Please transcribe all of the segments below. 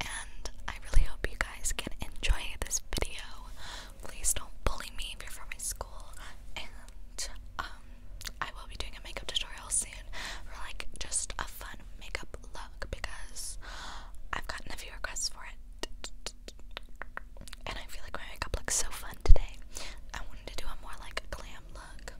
and I really hope you guys can enjoy this video. Please don't bully me if you're from my school, and um, I will be doing a makeup tutorial soon for like just a fun makeup look because I've gotten a few requests for it, and I feel like my makeup looks so fun today. I wanted to do a more like glam look.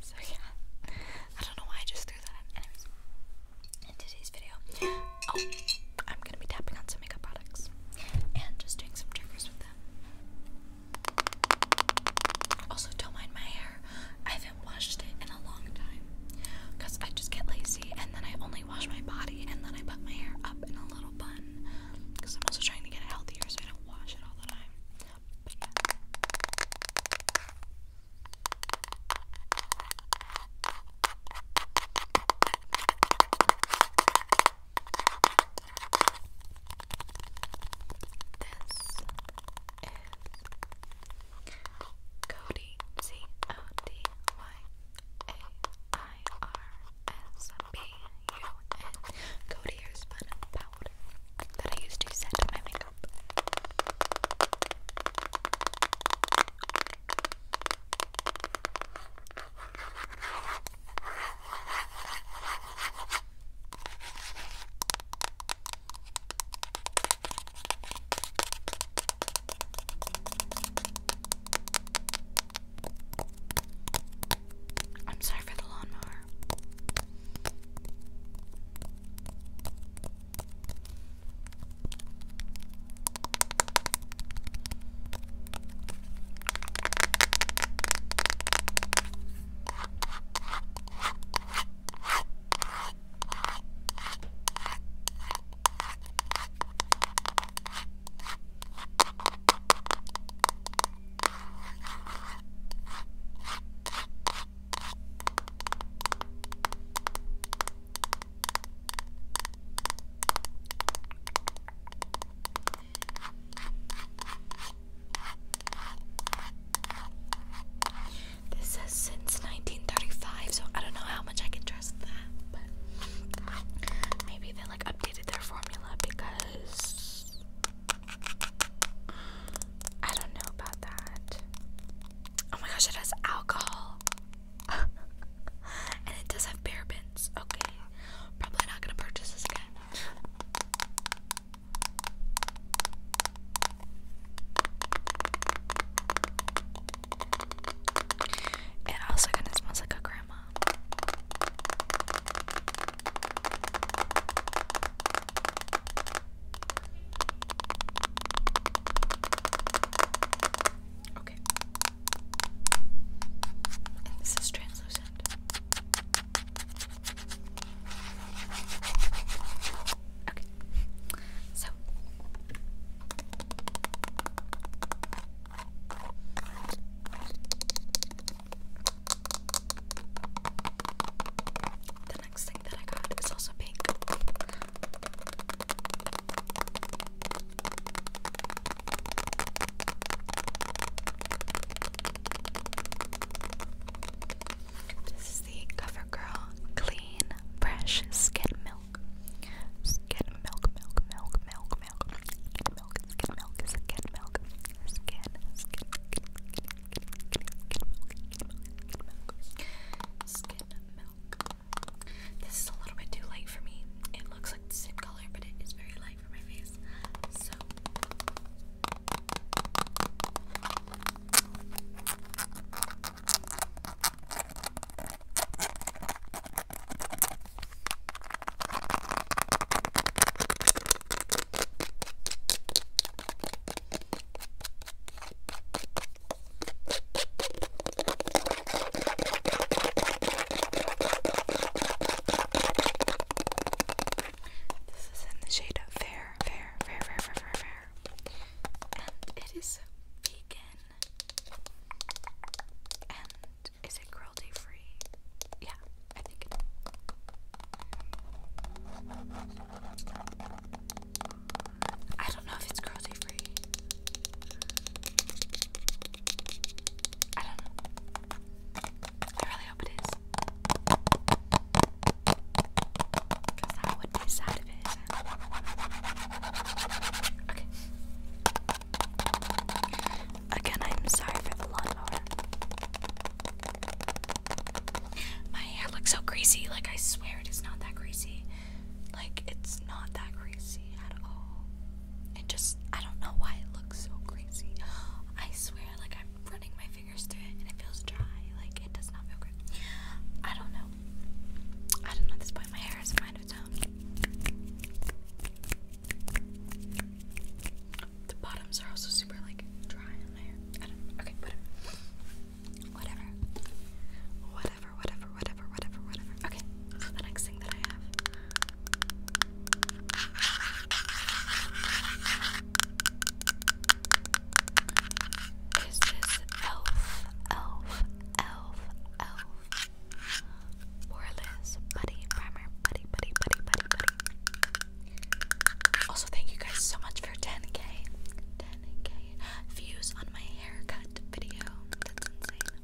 So yeah, I don't know why I just threw that in. today's video, oh, I'm gonna be tapping on some makeup products and just doing some tricks with them. Also, don't mind my hair. I haven't washed it in a long time because I just get lazy and then I only wash my body and then I put my hair up in a little bun because I'm also trying to get it healthier so I don't wash it all the time. Cody C O D Y A I R S B U N Cody Hairspun by that I used to set my makeup. I'm sorry for the lawnmower. This says since 1935, so I don't know how much I can trust that, but maybe they like updated their formula because I don't know about that. Oh my gosh, it has alcohol. and it does have parabens. Okay. Probably not gonna purchase this again. It also kind of smells like a grandma. Okay. And this is translucent. Okay. So the next thing that I got is also pink. This is the CoverGirl Clean Fresh Skin Milk. Skin milk, milk, milk, milk, milk, skin This is a little bit too light for me. It looks like the same color, but it is very light for my face. So. This is in the shade of fair, fair, fair, fair, fair, fair, fair. And it is vegan. And is it cruelty free? Yeah, I think I don't know if it's cruelty free. I don't know. I really hope it is. Because that would be sad if it Okay. Again, I'm sorry for the lawnmower. My hair looks so greasy. Like, I swear it is not that greasy. Like, it's not that greasy at all. It just, I don't know why it looks so greasy. I swear, like, I'm running my fingers through it and it feels dry. Like, it does not feel great. I don't know. I don't know at this point. My hair is a of its um, the bottoms are also super like dry on my Okay, whatever. Whatever. Whatever, whatever, whatever, whatever, Okay, the next thing that I have. Is this elf, elf, elf, elf, more buddy primer, buddy, buddy, buddy, buddy, Also, thank you guys so much for 10k, 10k views on my haircut video. That's insane.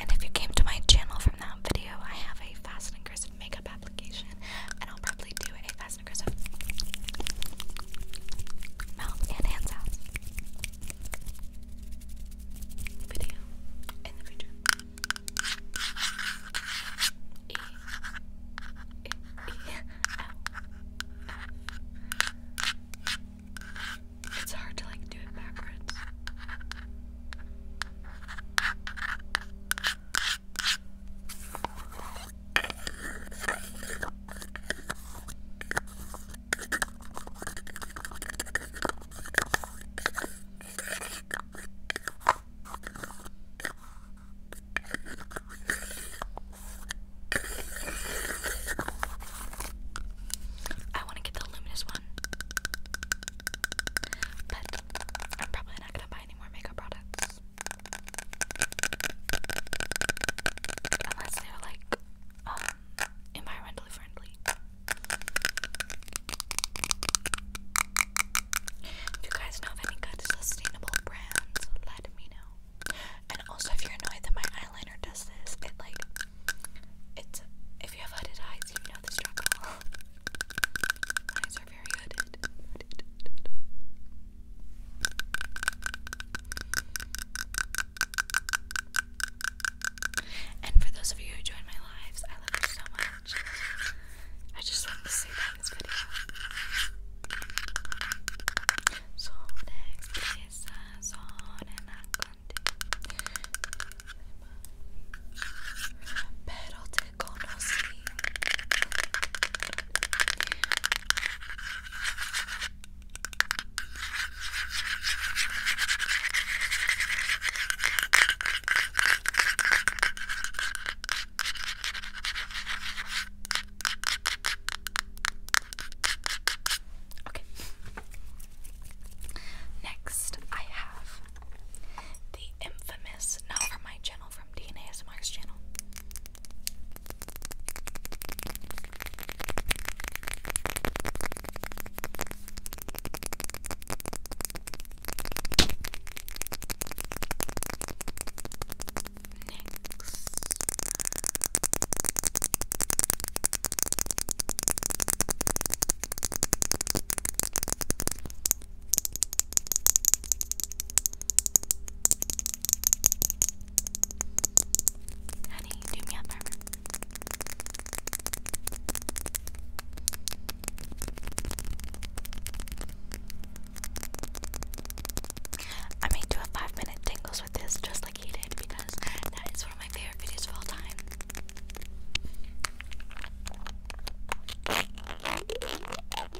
And if you came to my channel from that video, I have a Fast Kristen makeup application, and I'll probably do a Fast Kristen, Kristen. It's hard to like do it backwards. I want to get the luminous one, but I'm probably not going to buy any more makeup products. Unless they're like, um, environmentally friendly. If you guys know of any good sustainable brands, let me know. And also, if you're annoyed that my eyeliner does this, it like, it's if you have hooded eyes, you know the struggle. And for those of you who join my lives, I love you so much. I just wanted to say that in this video. Okay. Next, I have the infamous, not from my channel, from DNA ASMR's channel. Next. Honey, do me a favor. I may do a five minute tingles with this just like he did because that is one of my favorite videos of all time.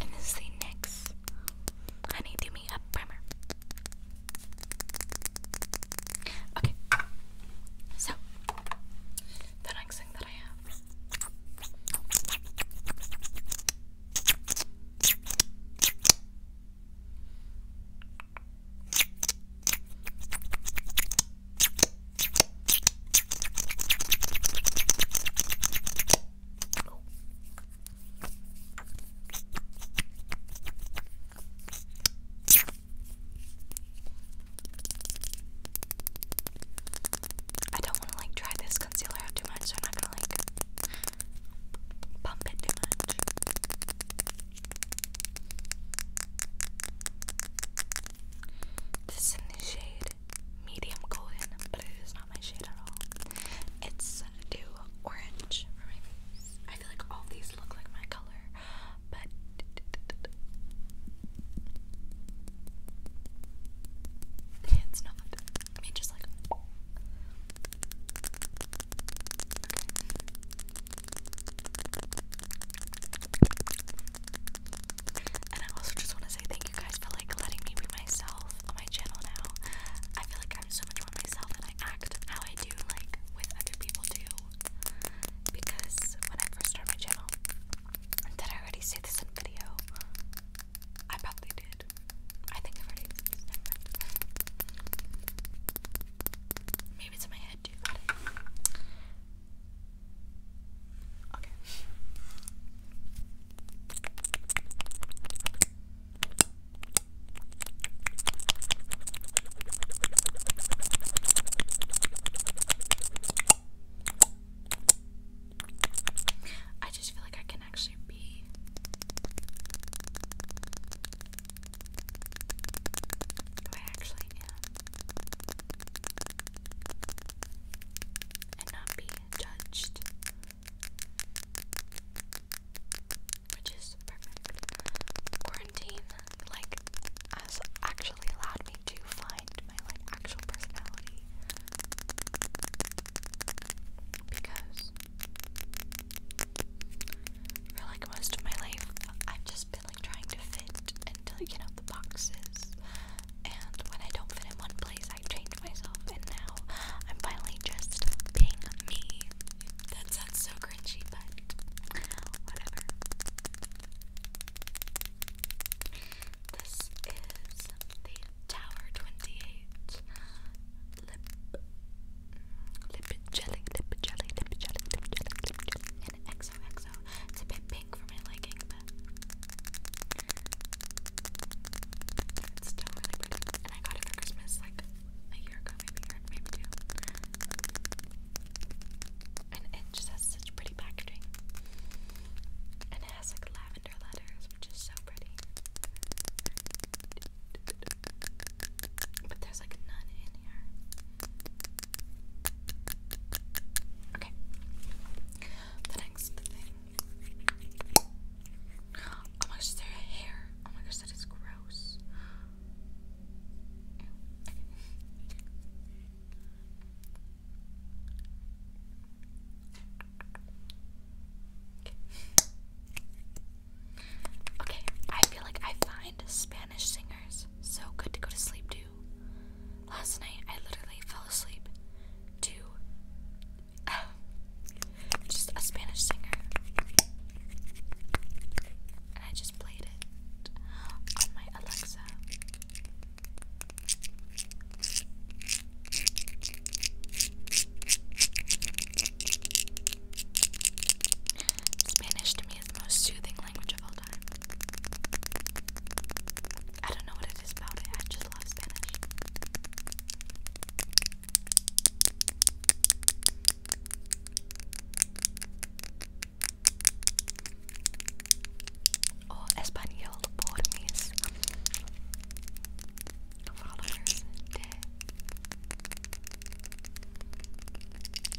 And this the NYX Honey Do Me Up Primer. Okay, so the next thing that I have. I don't want to like try this concealer out too much, so I'm not gonna like pump it too much. This in the shade medium golden, but it is not my shade at all. It's do orange for I feel like all these look like my color, but it's not. Let me just like. And I also just want to say thank you guys for like letting me be myself on my channel now. I feel like I'm so much more myself and I act how I do like with other people too. Because when I first started my channel, did I already say this in video? I probably did. I think i already said Maybe it's in my head too. Okay. I just feel like I can actually be I actually am. And not be judged. Which is perfect. Quarantine, like, has actually allowed me to find my, like, actual personality. Because for like most of my life, I've just been and like trying to fit into you know the boxes. And when I don't fit in one place, I change myself, and now I'm finally just being me. That sounds so cringy, but whatever. This is the Tower 28 lip jelly, lip jelly, lip jelly, lip jelly, lip and XOXO. It's a bit pink for my liking, but it's still really pretty. And I got it for Christmas like a year ago, maybe or maybe two. And it just has such pretty packaging. And it has like lavender letters, which is so pretty. But there's like none in here. Okay. The next thing. Oh my gosh, is hair? Oh my gosh, that is gross. Okay, I feel like I find Spanish singers so good to go to sleep to. Last night I literally fell asleep to just a Spanish singer. And I just played it on my Alexa. Spanish to me is the most soothing language of all time. I don't know what it is about it, I just love Spanish. Oh, Espanol por mis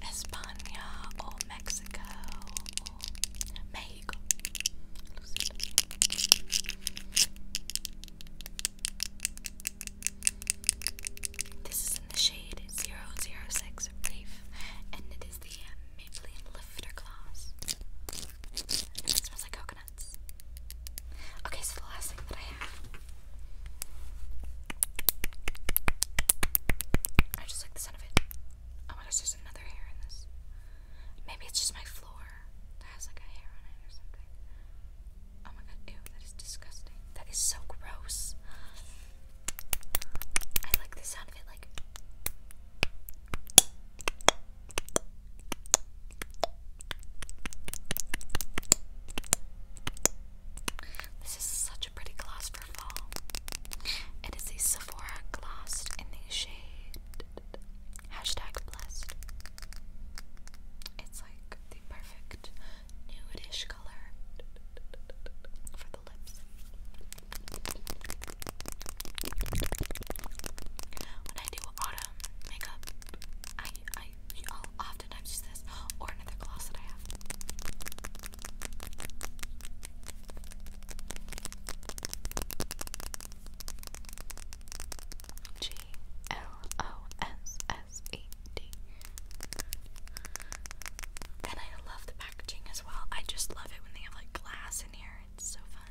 España or Mexico Mexico. This is in the shade 006 Reef, and it is the Maybelline Lifter Gloss. it smells like coconuts. Okay, so the last thing that I have I just like the sound of it. Oh my gosh, there's another hair in this. Maybe it's just my floor that has like a hair on it or something. Oh my god, ew, that is disgusting. That is so gross. I like the sound of it like this is such a pretty gloss for fall. It is a Sephora gloss in the shade hashtag blessed. It's like the perfect nude-ish color for the lips. When I do autumn makeup, I I I'll use this or another gloss that I have. G L O S S E D. And I love the packaging as well. I just love it when they have like glass in here. It's so fun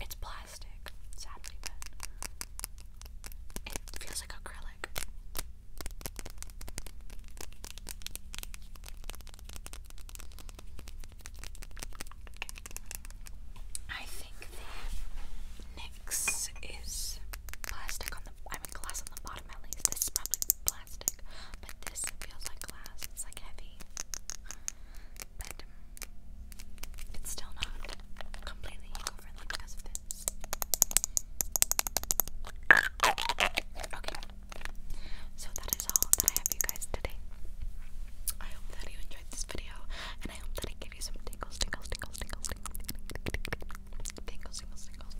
it's plastic, sadly, but it feels like acrylic. I think the NYX is plastic on the, I mean glass on the bottom at least. This is probably plastic but this feels like glass. It's like heavy, but it's still not completely eco because of this. Okay, so that is all that I have you guys today. I hope that you enjoyed this video, and I hope that it gave you some tingles, tingles, tingles, tingles, tingles, tingles, tingles, tingles, tingles,